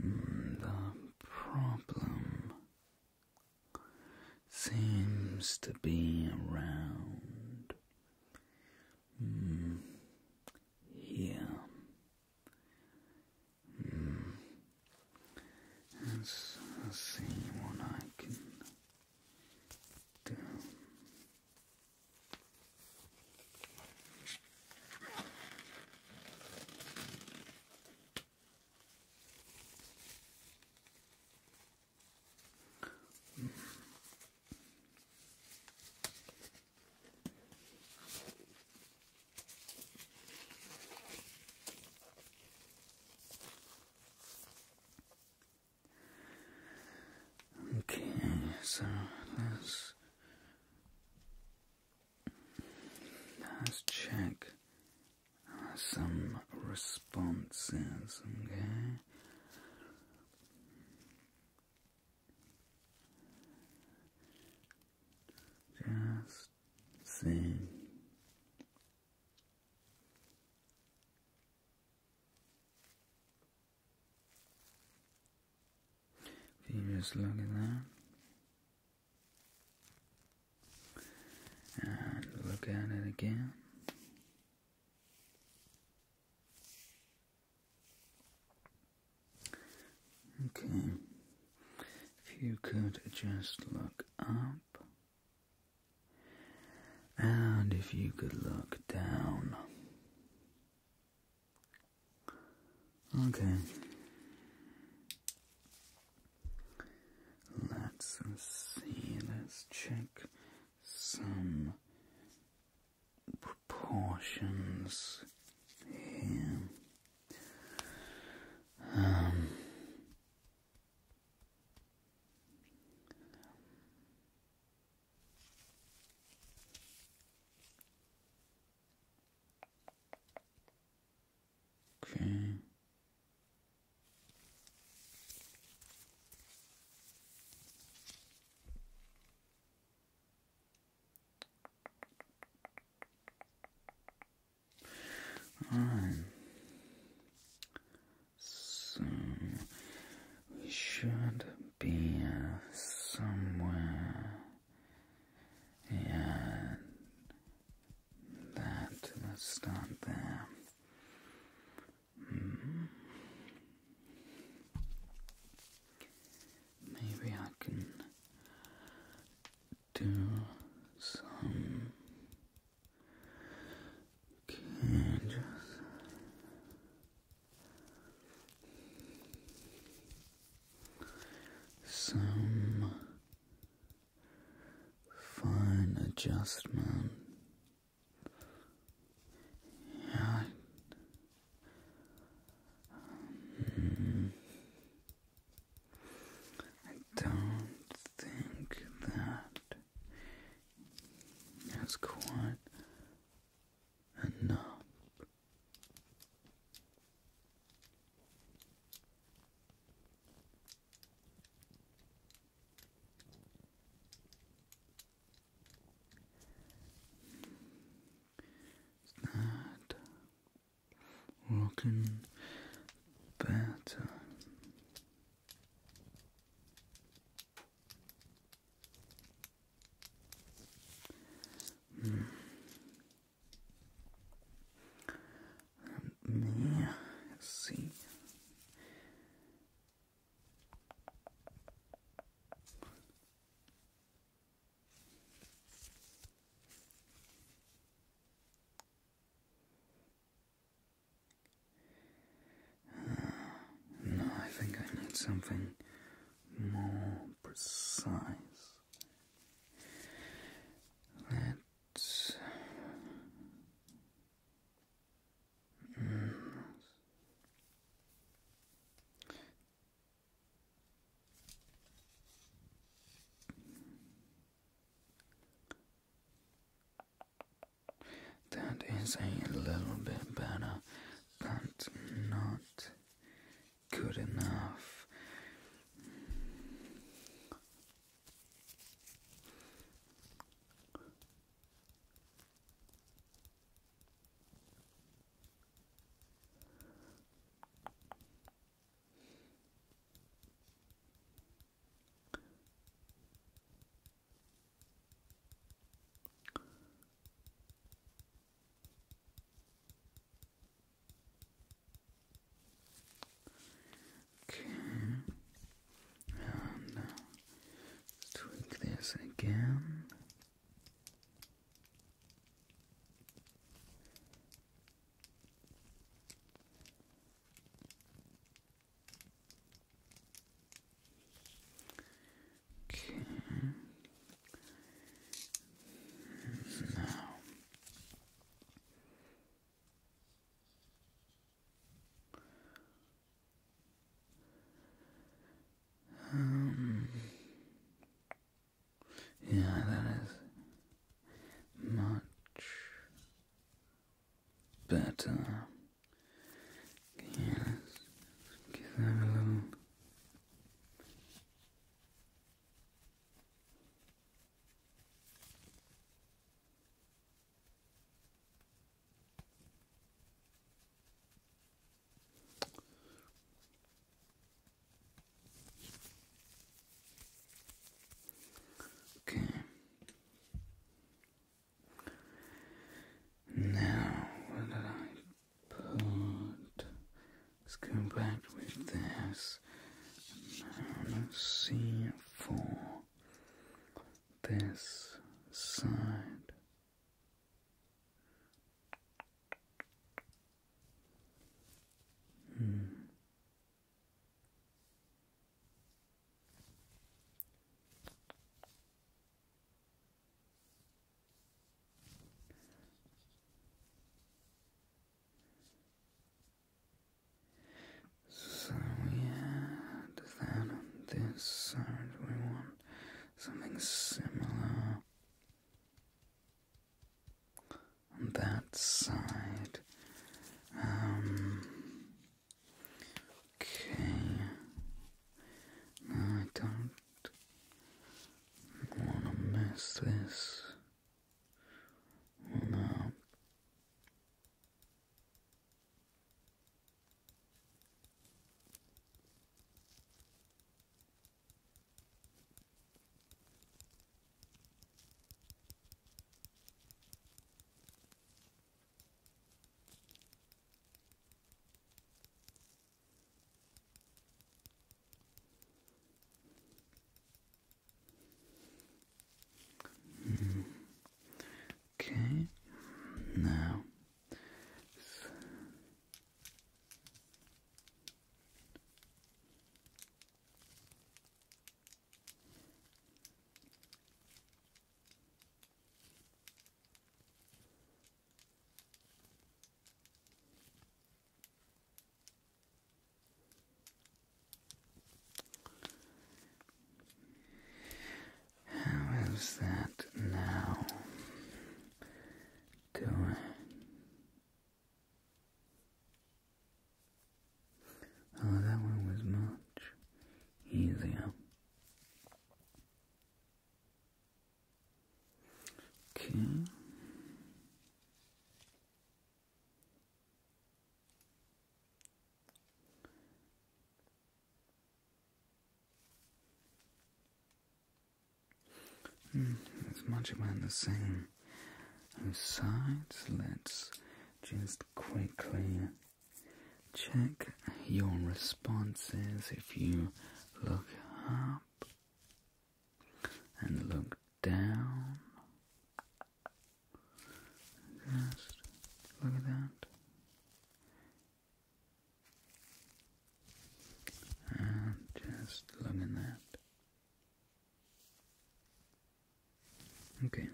Mm, the problem seems to be around mm, here. Mm. let's see what I can do. Mm. Okay, so let's Let's check some responses, okay? Just see. If you just look at that. And look at it again. Okay, if you could just look up, and if you could look down, Okay. Let's see, let's check some proportions here. Um, Okay. All right. So we should be uh, somewhere. Yeah, that. Let's start hmm. Maybe I can do some. Can some fine adjustment yeah. Hmm. I don't think that's quite and now, Is that looking better? Mm. Let me see. No, I think I need something more precise. Let's. Mm. That is a little bit better but not good enough. Okay. And uh, tweak this again. Okay. Now. Um, yeah, that is much better. Yes, give them a little. Okay. Now, let's go back with this. see for this side. Hmm. So we add that on this side. We want something similar on that side. Um, Okay. I don't want to mess this one Mm. Okay, now how is that now doing? Oh, that one was much easier. Okay. Mm, much about the same sides, let's just quickly check your responses if you look up and look down. Just look at that. And just look at that. Okay.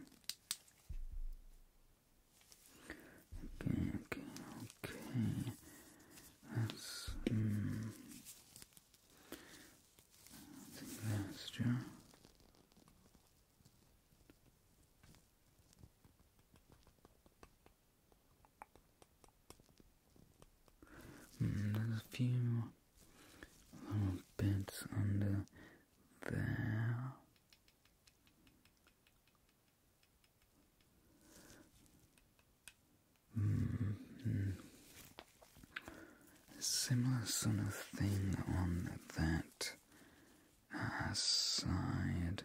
Okay, okay, okay. That's I think that's true. there's a few little bits under there. Hmm, hmm. Similar sort of thing on that uh, side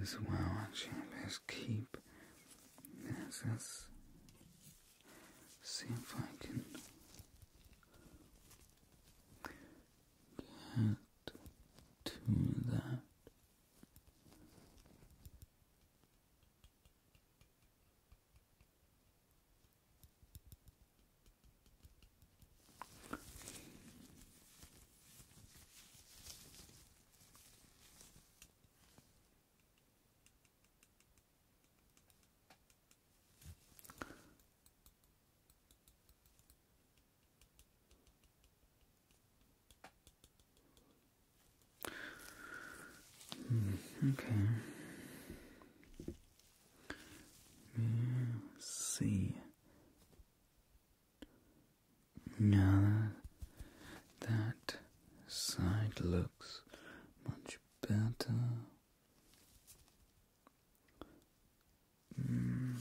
as well. Actually, let's keep this. see if I can get to that. Hmm, okay. Let's see. Now that side looks much better. Mm,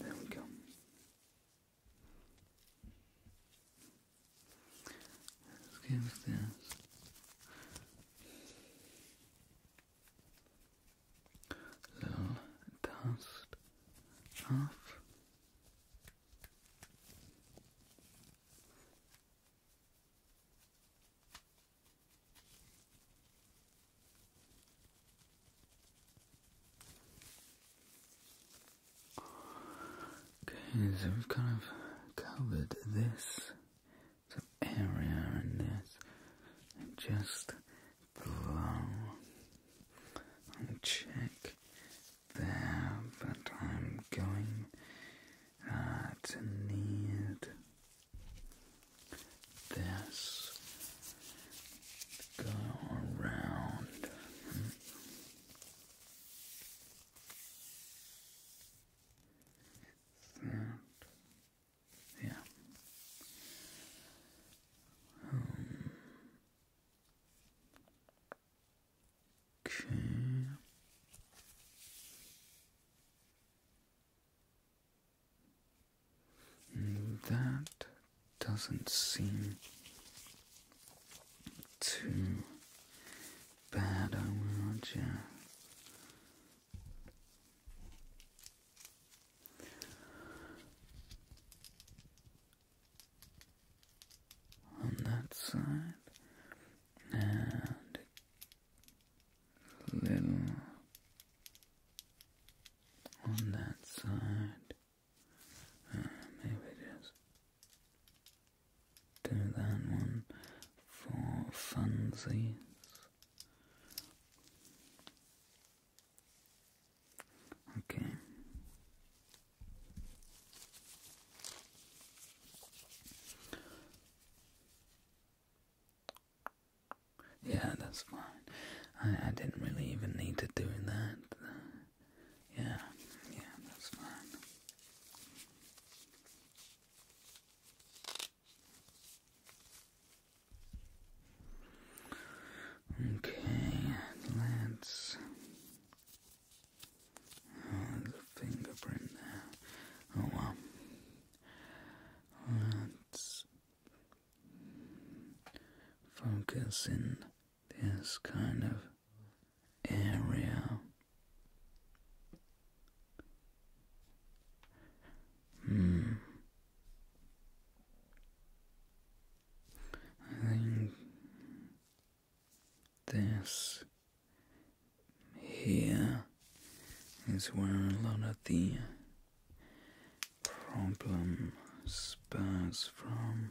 there we go. Let's little dust off. Okay, so we've kind of covered this the area in this and just blow and check there, but I'm going uh, to need this go around that. Yeah. okay. That doesn't seem to bad I want you. On that side, and a little on that side, uh, maybe just do that one for funsies. Okay. Yeah, that's fine. I, I didn't really even need to do that. Yeah, yeah, that's fine. Okay, let's the fingerprint Oh Let's focus in this kind of area. Hmm. I think this here is where a lot of the problem spurs from.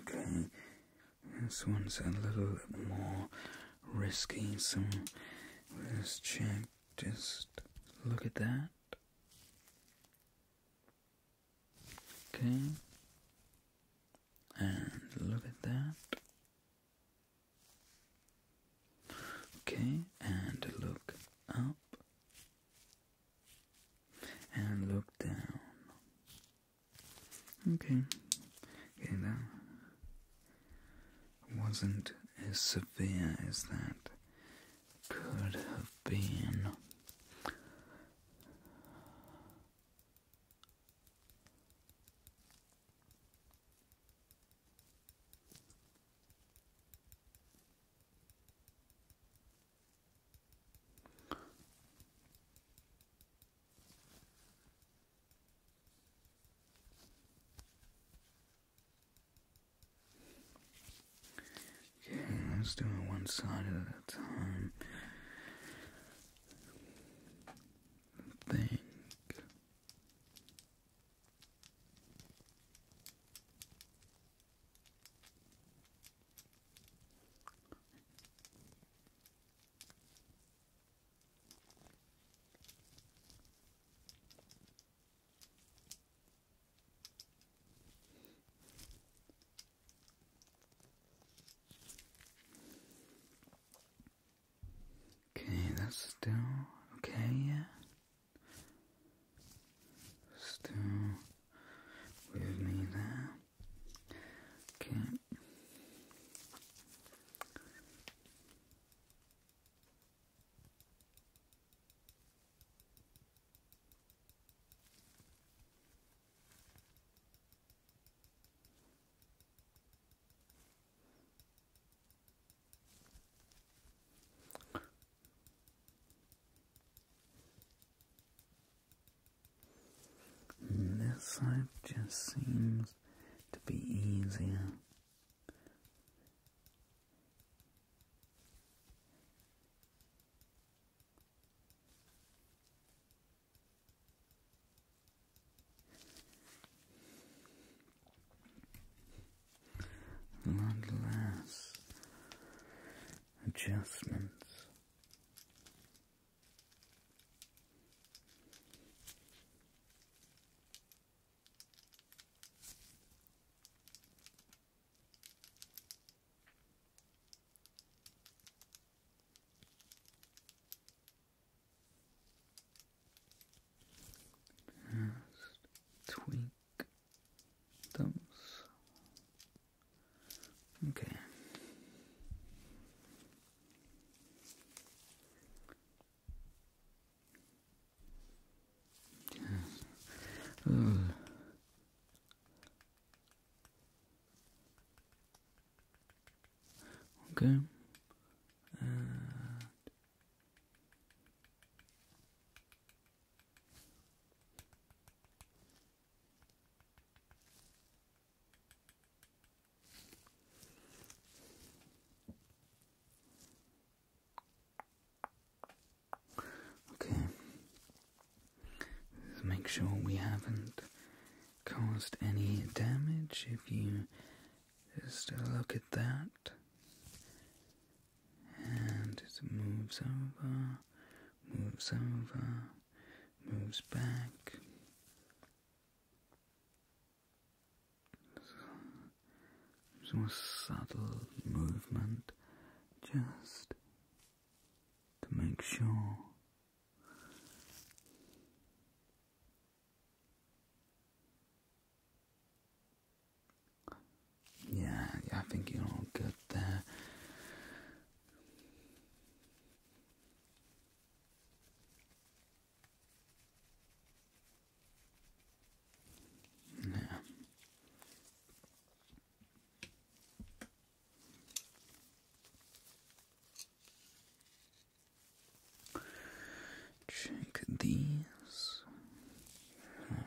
okay, this one's a little bit more risky, so let's check. Just look at that. Okay, and look at that. Okay, and look up and look down. Okay, getting down wasn't as severe as that could have been. Okay, let's do it one side at a time. Think. Okay, that's still okay, yeah. Still with me there. Okay. Mm, this life just seems to be easier. Landlass adjustments. Just tweak thumbs. Okay. Okay. Uh, Okay, Let's make sure we haven't caused any damage. If you just look at that, and it moves over, moves over, moves back. It's more subtle movement just to make sure. Yeah, I think you're all good there. Yeah. Check these.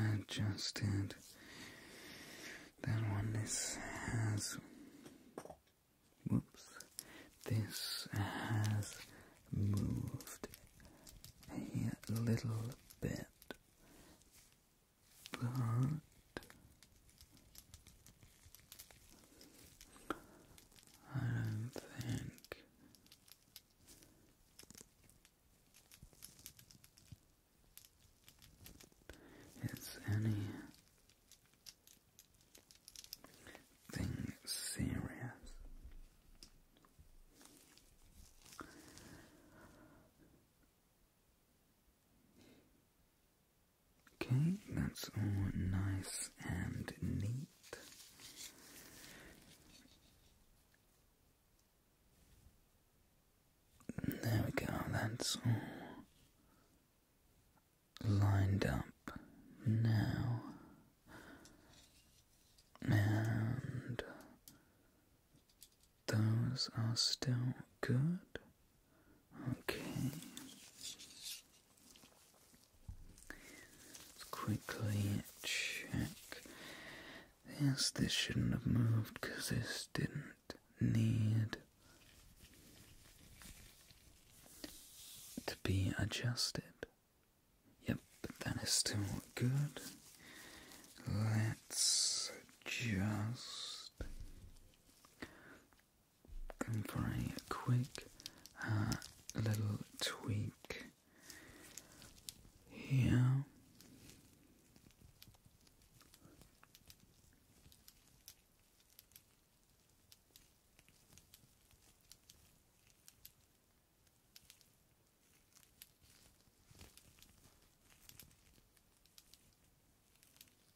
I adjusted that one, this has. Whoops. This has moved a little bit, but I don't think it's anything serious. Okay, that's all nice and neat. There we go, that's all lined up now. And those are still good. Okay. Let's quickly check this. This shouldn't have moved because this didn't need to be adjusted. Yep, that is still good. Let's just for a quick uh, little tweak here.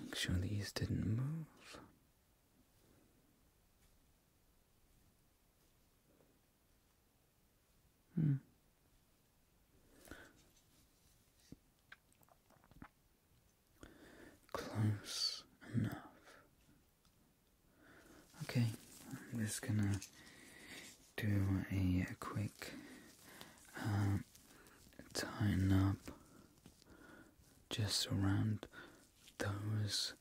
Make sure these didn't move. Hmm. Close enough. Okay, I'm just gonna do a, a quick uh, Tighten up just around those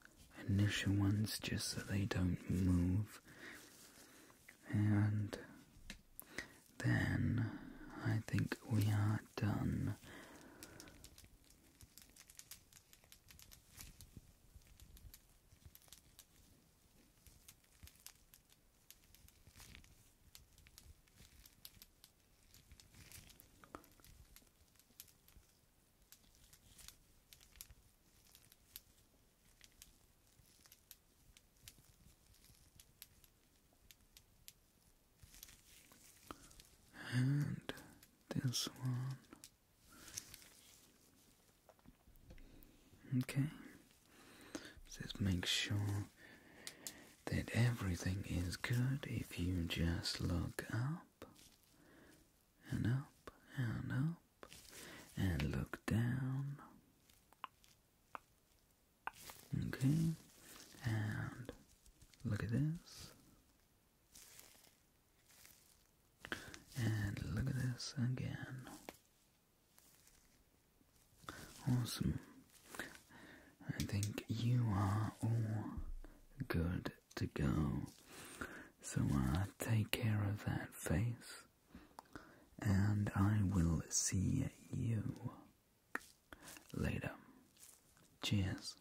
initial ones just so they don't move and then I think we are done. And this one. Okay. Just make sure that everything is good if you just look up and up and up and look down. Okay, and look at this. And look at this again. Awesome. I think you are all good to go. So I uh, take care of that face, and I will see you later. Cheers.